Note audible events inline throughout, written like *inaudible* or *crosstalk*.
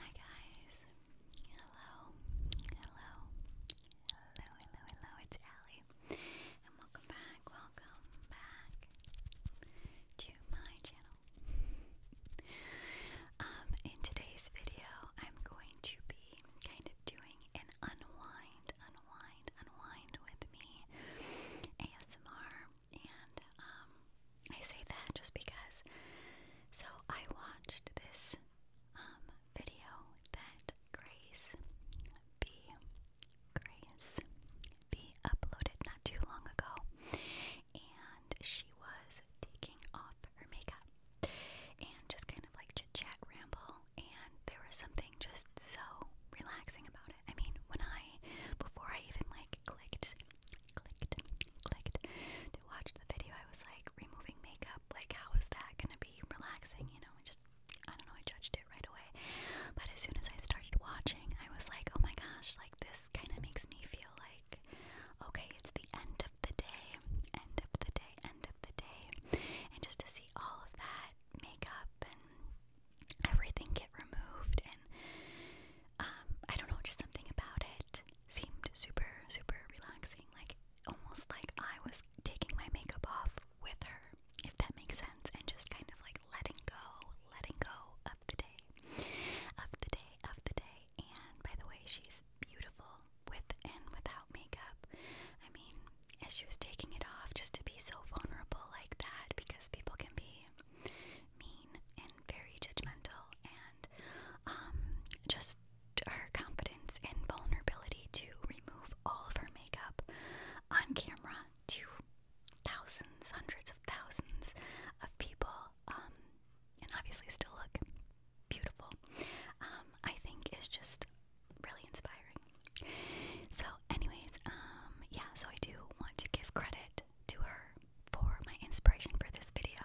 Hi guys. Hello. Hello. Hello, hello, hello. It's Allie. And welcome back. Welcome back to my channel. Um, in today's video, I'm going to be kind of doing an unwind, unwind, unwind with me ASMR and um, I say that just because. So I watched this um, video that Grace B. Grace B. uploaded not too long ago, and she was taking off her makeup and just kind of like chit chat ramble, and there was something just so relaxing about it. I mean, when I before I even like clicked clicked, clicked to watch the video. I was like, removing makeup, like, how is that gonna be relaxing? You know, I just, I don't know, I judged it right away. But as soon as I started watching, I was like, oh my gosh, like, this kind of makes me feel like, okay, it's the end of the day, end of the day, end of the day. And just to see all of that makeup and everything get removed and um, I don't know, just something about it seemed super, super relaxing. Like almost like I was taking my makeup off with her, if that makes sense, and just kind of like letting go, letting go of the day, of the day, of the day. And by the way, she's beautiful with and without makeup. I mean, as she was taking it off, just to be so vulnerable like that, because people can be mean and very judgmental, and um, just her confidence and vulnerability to remove all of her makeup on camera to thousands, hundreds of thousands of people, um, and obviously still look beautiful, um, I think is just really inspiring. So, anyways, um, yeah, so I do want to give credit to her for my inspiration for this video.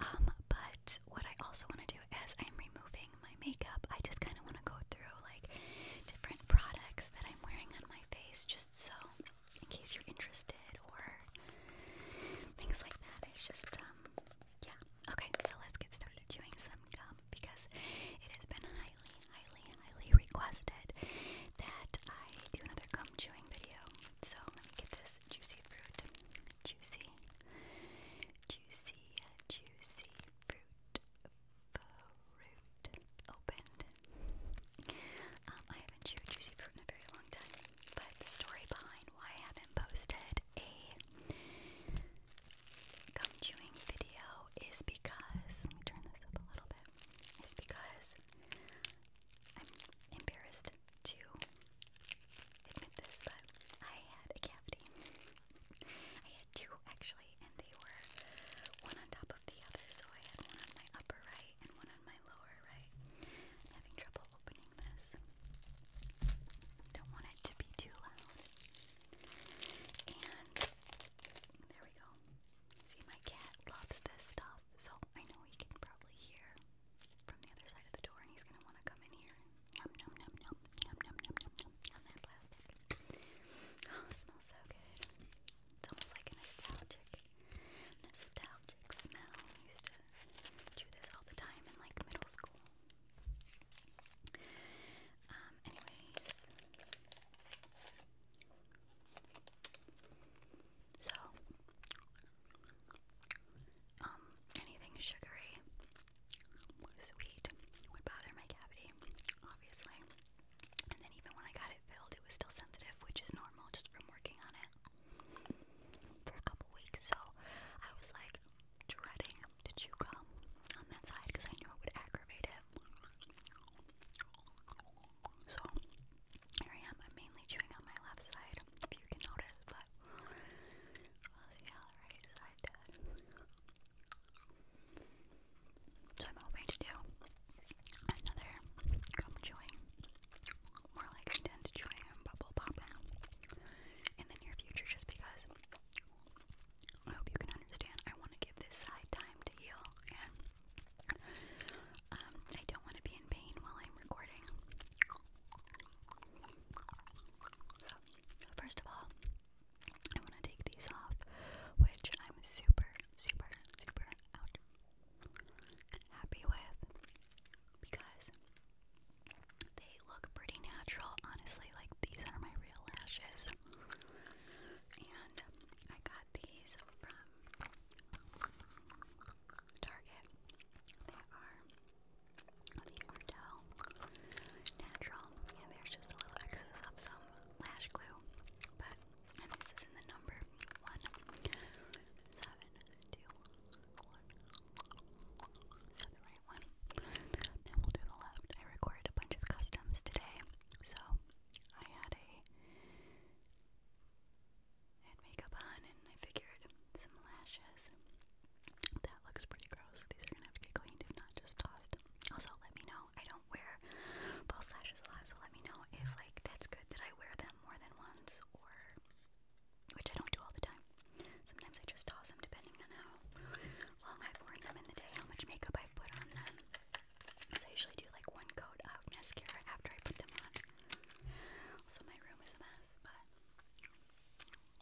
Um, but what I also want to do as I'm removing my makeup, I just kind of want to go through like different products that I'm wearing on my face just so in case you're interested or things like that. It's just, um, yeah. Okay, so let's get started chewing some gum because it has been a highly, highly, highly requested that I do another gum chewing video. So let me get this juicy fruit. Juicy, juicy, juicy fruit. Fruit opened. Um, I haven't chewed juicy fruit in a very long time, but the story behind why I haven't posted a gum chewing video is because let me turn this up a little bit. It's because I'm embarrassed to admit this, but I had a cavity. I had two actually, and they were one on top of the other, so I had one on my upper right and one on my lower right. having trouble opening this. Don't want it to be too loud. And there we go. See, my cat loves this stuff, so I know he can probably hear from the other side of the door, and he's gonna want to come in here. Nom nom nom nom nom nom nom nom nom on that plastic. Oh, it smells so good. It's almost like a nostalgic, nostalgic smell. I used to chew this all the time in like middle school. Um, anyways, so, um, anything sugary, sweet would bother my cavity, obviously. And then even when I got it filled, it was still sensitive, which is normal just from working on it for a couple weeks. So I was like dreading to chew gum on that side because I knew it would aggravate it. So here I am. I'm mainly chewing on my left side, if you can notice, but we'll see how the right side does. So I'm hoping to do another gum chewing, more like intense chewing and bubble popping in the near future, just because I hope you can understand. I want to give this side time to heal, and um, I don't want to be in pain while I'm recording. So, first of all, I want to take these off, which I'm super, super, super happy with because they look pretty natural. Honestly, like these are my real lashes. And I got these from Target. They are the Ardell Natural, and there's just a little excess of some lash glue. But, and this is in the number one seven two one. Is that the right one? Then we'll do the left. I recorded a bunch of customs today, so I had a I had makeup on and I figured some lashes. That looks pretty gross. These are gonna have to get cleaned if not just tossed. Also let me know. I don't wear false lashes a lot, so let me know if like that's good that I wear them more than once or which I don't do all the time. Sometimes I just toss them depending on how long I've worn them in the day, how much makeup I've put on them. So I usually do like one coat of mascara after I put them on. So my room is a mess, but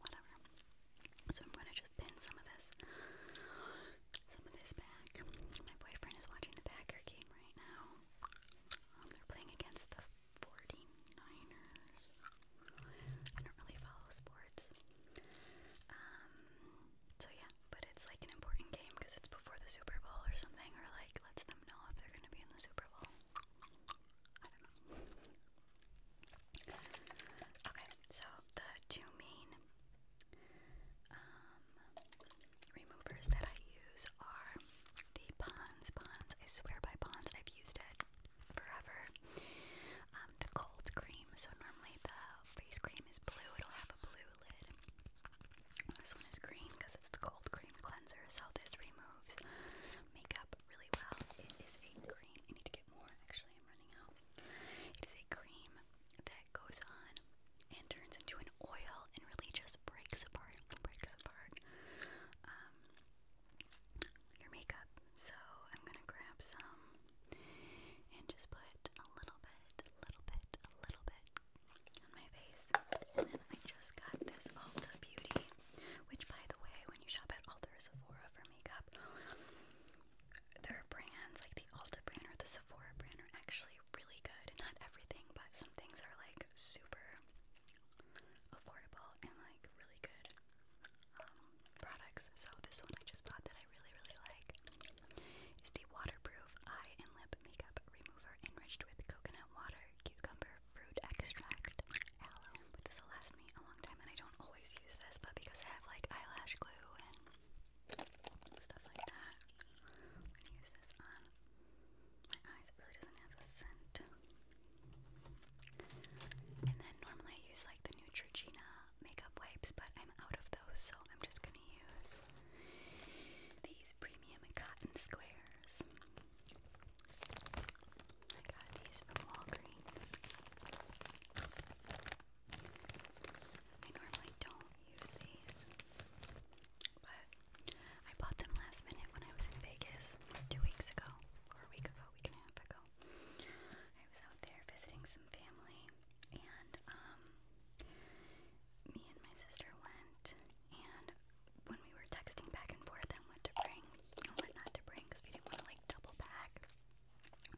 whatever. So I'm gonna just pin some of this, some of this back. My boyfriend is watching the Packer game right now. Um, they're playing against the 49ers. I don't really follow sports. Um, so yeah, but it's like an important game because it's before the Super Bowl or something, or like lets them know if they're gonna be in the Super Bowl. I don't know. Okay, so the two main um, removers that I use are the Pons. Pons, I swear by Pons, I've used it forever. Um, the cold cream. So normally the face cream is blue, it'll have a blue lid. This one is green because it's the cold cream cleanser, so this removes makeup really well. It is a cream. I need to get more, actually, I'm running out. It is a cream that goes on and turns into an oil and really just breaks apart, breaks apart um, your makeup. So I'm gonna grab some and just put a little bit, little bit, a little bit on my face. And then I just got this Ulta Beauty, which by the way, when you shop at Ulta or Sephora for makeup, their brands, like the Ulta brand or the Sephora brand, are actually really good. Not everything, but some things are like super affordable and like really good um, products. So this one I just bought that I really, really like is the waterproof eye and lip makeup remover enriched with coconut water, cucumber, fruit extract, this will last me a long time, and I don't always use this, but because I have like eyelash glue and stuff like that, I'm gonna use this on my eyes. It really doesn't have a scent. And then normally I use like the Neutrogena makeup wipes, but I'm out of those, so I'm just gonna use these premium cotton squares. I got these from Walgreens. I normally don't use these, but I bought them last minute when I was in Vegas two weeks ago, or a week ago, a week and a half ago. I was out there visiting some family, and um, me and my sister went, and when we were texting back and forth on what to bring and what not to bring, because we didn't want to like double back,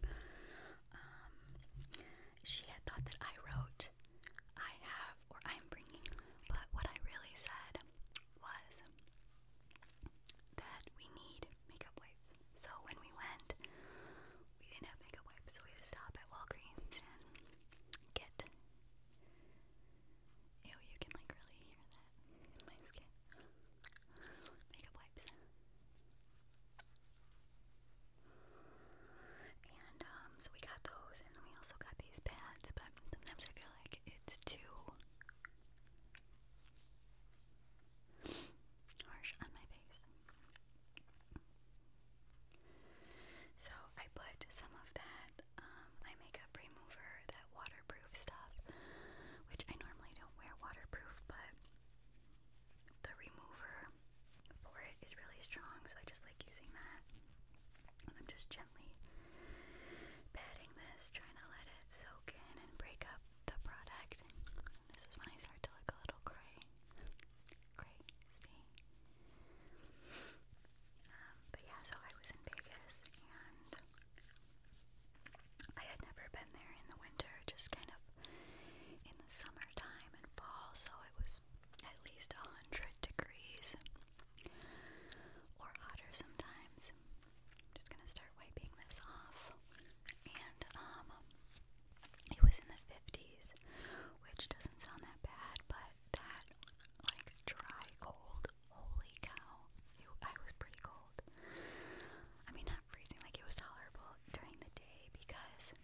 um, she had thought that I wrote, I have, or I am bringing, but what I really said was that we need makeup wipes. So when we went, we didn't have makeup wipes, so we had to stop at Walgreens and get. Ew, you can like really hear that Makeup wipes. And um, so we got those, and we also got these pads, but sometimes I feel like it's too harsh on my face. So I put some of that eye um, makeup remover, that waterproof stuff, which I normally don't wear waterproof, but the remover for it is really strong, so I just like using that. And I'm just gently patting this, trying to let it soak in and break up the product. This is when I start to look a little gray. Crazy. Um, but yeah, so I was in Vegas and I had never been there in the winter, just kind of in the summertime and fall, so it was at least 100 degrees or hotter sometimes. I'm just gonna start wiping this off. And um, it was in the 50s, which doesn't sound that bad, but that like dry cold, holy cow, I was pretty cold. I mean, not freezing, like it was tolerable during the day because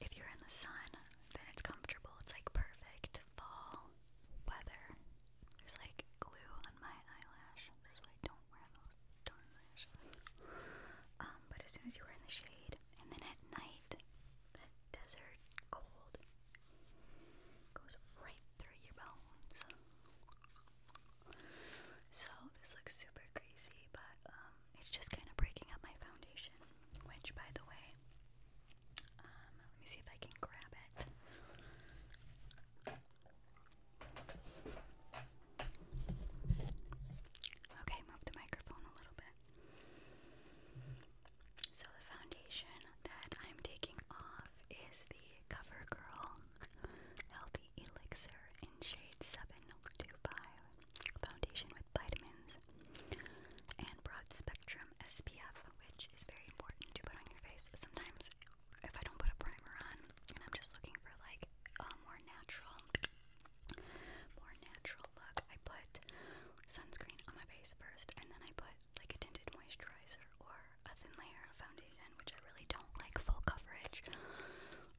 if you're in the sun, then it's comfortable. It's like perfect fall weather. There's like glue on my eyelash, so I don't um, but as soon as you were in the shade, and then at night, that desert cold goes right through your bones. So this looks super crazy, but um, it's just kind of breaking up my foundation, which, by the way, um, let me see if I can grab it. Okay, move the microphone a little bit. So, the foundation that I'm taking off is the CoverGirl Healthy Elixir in shade 725 foundation with vitamins and broad spectrum SPF, which is very important to put on your face. Sometimes if I don't put a primer on and I'm just looking for like a more natural more natural look, I put sunscreen on my face first and then I put like a tinted moisturizer or a thin layer of foundation, which I really don't like full coverage.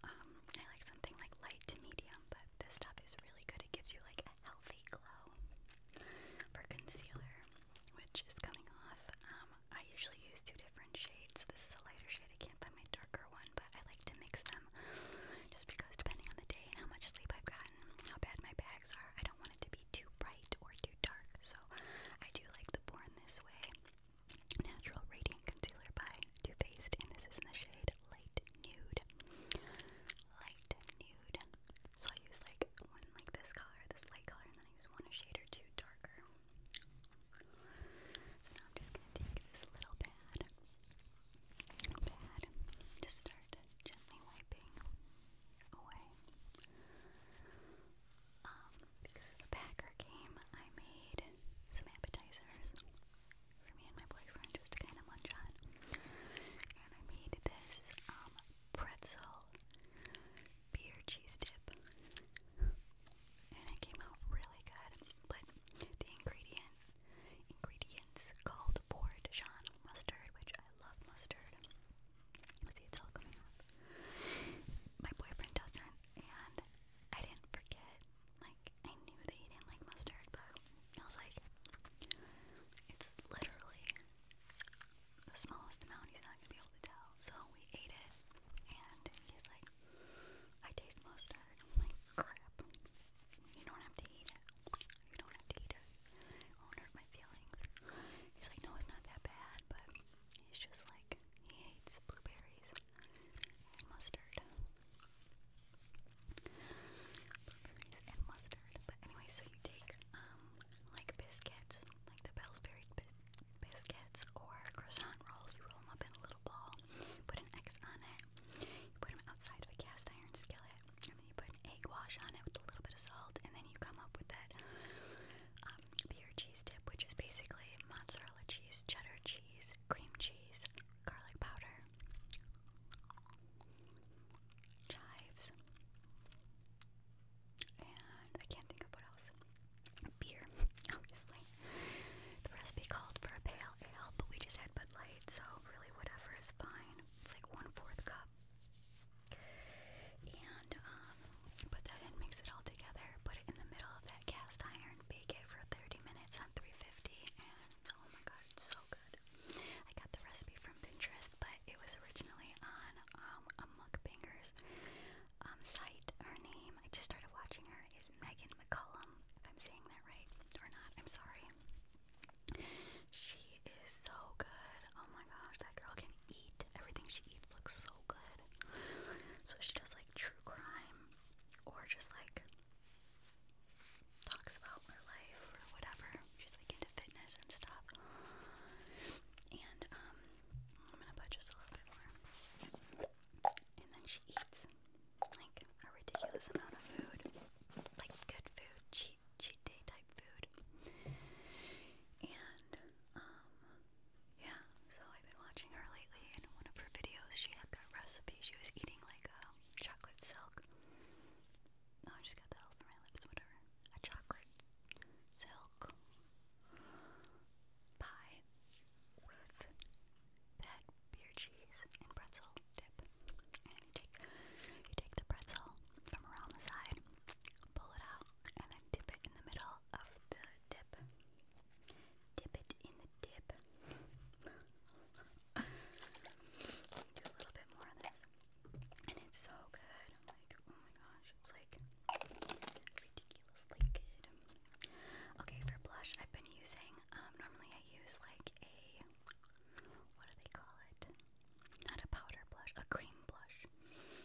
Um, I like something like light to medium, but this stuff is really good. It gives you like a healthy glow. For concealer, which is coming off, um, I usually use two different shades. so This is a lighter shade. I can't find my darker one, but I like to mix them just because depending on the day and how much sleep I've gotten, how bad my bags are, I don't want it to be too bright or too dark. So I do like the Born This Way Natural Radiant Concealer by Too Faced, and this is in the shade Light Nude. Light Nude. So I use like one like this color, this light color, and then I use one a shade or two darker darker. So now I'm just gonna take this little pad, just start gently wiping away. Um, because of the Packer game, I made some appetizers for me and my boyfriend just to kind of munch on, and I made this um, pretzel beer cheese dip, and it came out really good. But the ingredient ingredients called for mustard, which I love mustard. see, it's all coming out. My boyfriend doesn't, and I didn't forget. Like I knew that didn't like mustard, but I was like, it's literally the smallest amount, he's not going to be able to tell. So we ate it, and he's like, I taste mustard. I'm like, crap. You don't have to eat it. You don't have to eat it. It won't hurt my feelings. He's like, no, it's not that bad, but he's just like, he hates blueberries and mustard. Blueberries and mustard. But anyway, so you take um like biscuits, like the Pillsbury biscuits or croissant rolls. You roll them up in a little ball, put an X on it, put them outside of a cast iron skillet, and then you put egg wash on it with a little bit of salt, and then you come up with that um, beer cheese dip, which is basically mozzarella cheese, cheddar cheese, cream cheese, garlic powder, chives, and I can't think of what else. Beer, *laughs* obviously. The recipe called for a pale ale, but we just had Bud Light, so really whatever is fine. It's like one fourth cup. And um, put that in, mix it all together, put it in the middle of that cast iron, bake it for 30 minutes on 350, and oh my god, it's so good. I got the recipe from from Pinterest, but it was originally on um, a mukbanger's um, site. Her name, I just started watching her, is Megan McCollum, if I'm saying that right or not. I'm sorry. She is so good. Oh my gosh, that girl can eat. Everything she eats looks so good. So she does like true crime or just like talks about her life or whatever. She's like into fitness and stuff. And um, I'm gonna put just a little bit more. And then she eats like a ridiculous amount of food, like good food, cheat cheat day type food. And um, yeah. So I've been watching her lately, and in one of her videos, she had that recipe. She was eating like a chocolate silk Oh, I just got that all off my lips, whatever. A chocolate silk pie with that beer cheese and pretzel dip. And you take you take the pretzel from around the side, pull it out, and then dip it in the middle of the dip. Dip it in the dip. *laughs* Do a little bit more of this and it's so good. I'm like, oh my gosh, it's like ridiculously good. Okay, for blush, I've been using. Um, normally I use like a what do they call it? Not a powder blush, a cream blush.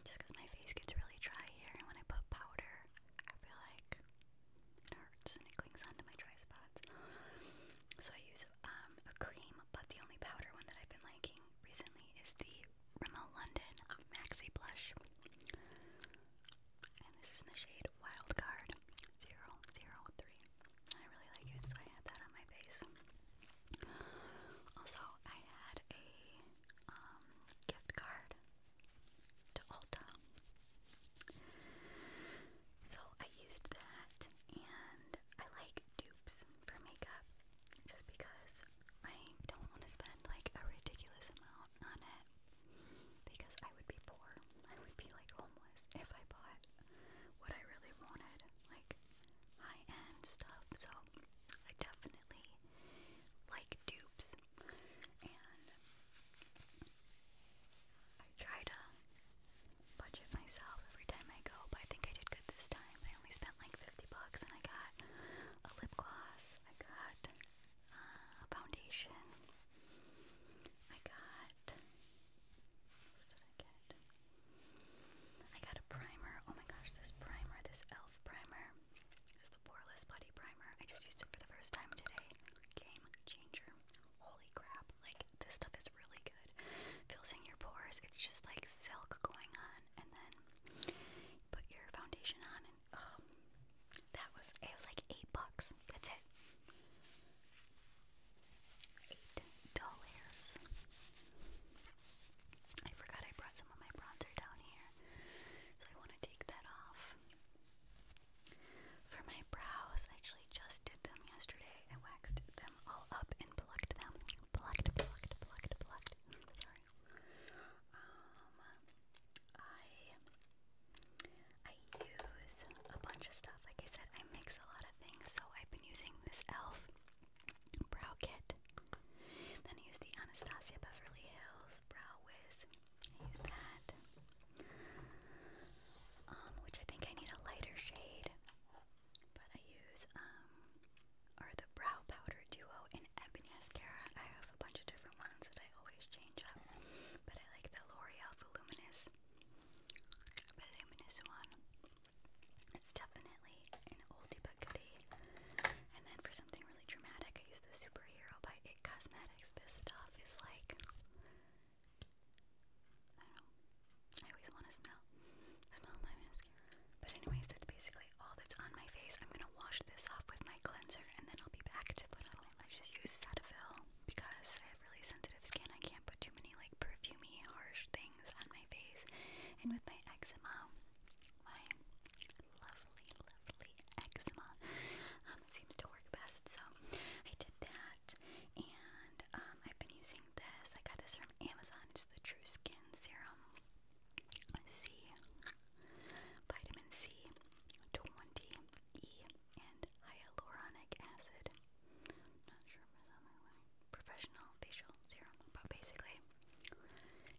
Just because my face gets really dry here, and when I put powder, I feel like it hurts and it clings onto my dry spots. So I use use um, a cream, but the only powder one that I've been liking recently is the Rimmel London Maxi Blush. And this is in the shade Wildcard 003. I really like it, so I had that on my face. Also, I had a um, gift card to Ulta. So I used that, and I like dupes for makeup just because I don't want to spend like a ridiculous amount on it because I would be poor. I would be like homeless if I bought what I really wanted, like high end stuff. So I definitely like dupes and I try to budget myself every time I go, but I think I did good this time. I only spent like 50 bucks and I got a lip gloss, I got uh, a foundation, I got. What did I get? I got a primer. Oh my gosh, this primer, this e.l.f. primer is the Poreless Putty Primer. I just used it for the first time today. Game changer. Holy crap. Like, this stuff is really good. Fills in your pores. It's just like silk going on, and then put your foundation on, and oh, that was it was like eight bucks. That's it. Eight dollars. I forgot I brought some of my bronzer down here, so I want to take that off. For my brows, I actually just did them yesterday. I waxed them all up and plucked them. Plucked, plucked, plucked, plucked. Sorry. Um, I I use a bunch of stuff. Like I said, I mix a lot of things. So I've been using this Elf brow kit. Then I use the Anastasia Beverly Hills brow wiz. I use that. Um, which I think I need a lighter shade. But I use um or the brow powder duo in Ebony mascara. I have a bunch of different ones that I always change up. But I like the L'Oreal Voluminous Voluminous one. It's definitely an oldie but goodie. And then for something really dramatic, I use the Superhero by It Cosmetics. This stuff is like I don't know. I always want to smell, smell my mascara. But anyways, that's basically all that's on my face. I'm gonna wash this off with my cleanser, and then I'll be back to put on my. I use Cetaphil because I have really sensitive skin. I can't put too many like perfumey, harsh things on my face. And with my eczema, my lovely, lovely eczema um, seems to work best. So I did that. And um, I've been using this. I got this from Amazon. It's the True Skin Serum C, Vitamin C, 20E, and Hyaluronic Acid. Not sure if it's on way. Professional Facial Serum. But basically,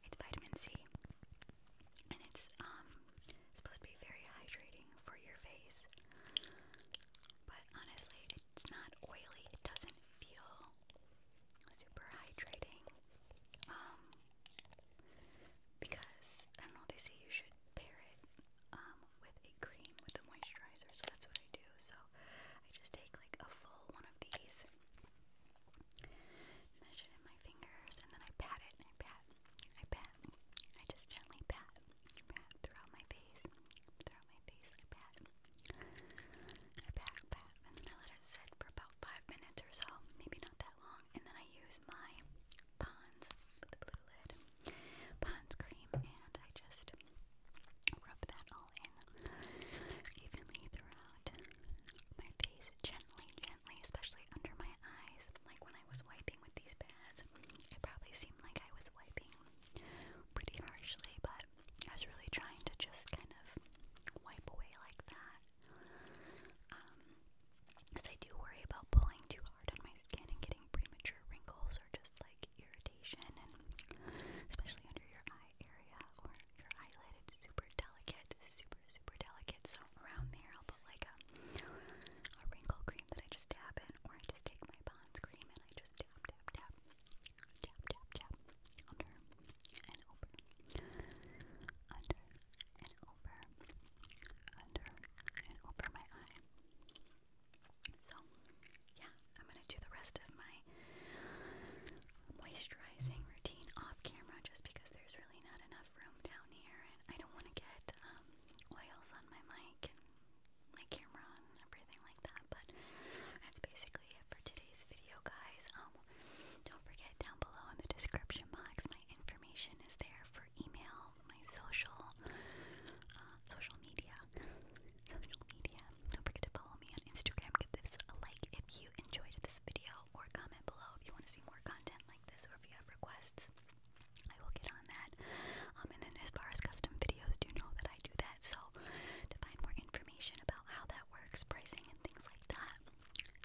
it's vitamin C. And it's um, supposed to be very hydrating for your face. But honestly, it's not oily. It doesn't feel super hydrating. Um, because I don't know. They say you should pair it um, with a cream with a moisturizer. So that's what I do. So I just take like a full one of these, measure it in my fingers, and then I pat it. I pat. I pat. I just gently pat, pat throughout my face throughout my face. I pat. I pat, pat, and then I let it sit for about five minutes or so, maybe not that long. And then I use my Pond's with the blue lid, Pond's cream, and I just rub that all in evenly throughout my face, gently, gently, especially under my eyes. Like when I was wiping with these pads, it probably seemed like I was wiping pretty harshly, but I was really trying to just kind of wipe away like that. Um, I do worry about pulling too hard on my skin and getting premature wrinkles or just like irritation, and especially under your eye area or your eyelid, it's super delicate, super super delicate. So around there, I'll put like a wrinkle cream that I just dab in, or I just take my Pond's cream and I just tap, tap, tap, tap, tap, tap, under and over, under and over, under and over my eye. So, yeah, I'm gonna do the rest of my moisturizing routine off camera just because there's really not enough room down here and I don't want to get oils on my mic my camera and everything like that. But that's basically it for today's video, guys. Um, don't forget down below in the description box, my information is there for email, my social, uh, social media, social media. Don't forget to follow me on Instagram. Give this a like if you enjoyed this video, or comment below if you want to see more content like this, or if you have requests. I will get on that. Um, and then as far as custom videos, do know that I do that. So to find more information about how that works, pricing and things like that,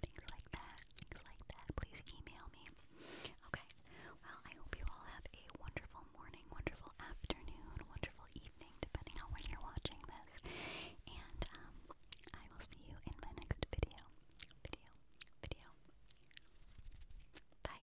things like that, things like that, please email me. Okay. Well, I hope you all have a wonderful morning, wonderful afternoon, wonderful evening, depending on when you're watching this. And um, I will see you in my next video. Video. Video. Bye.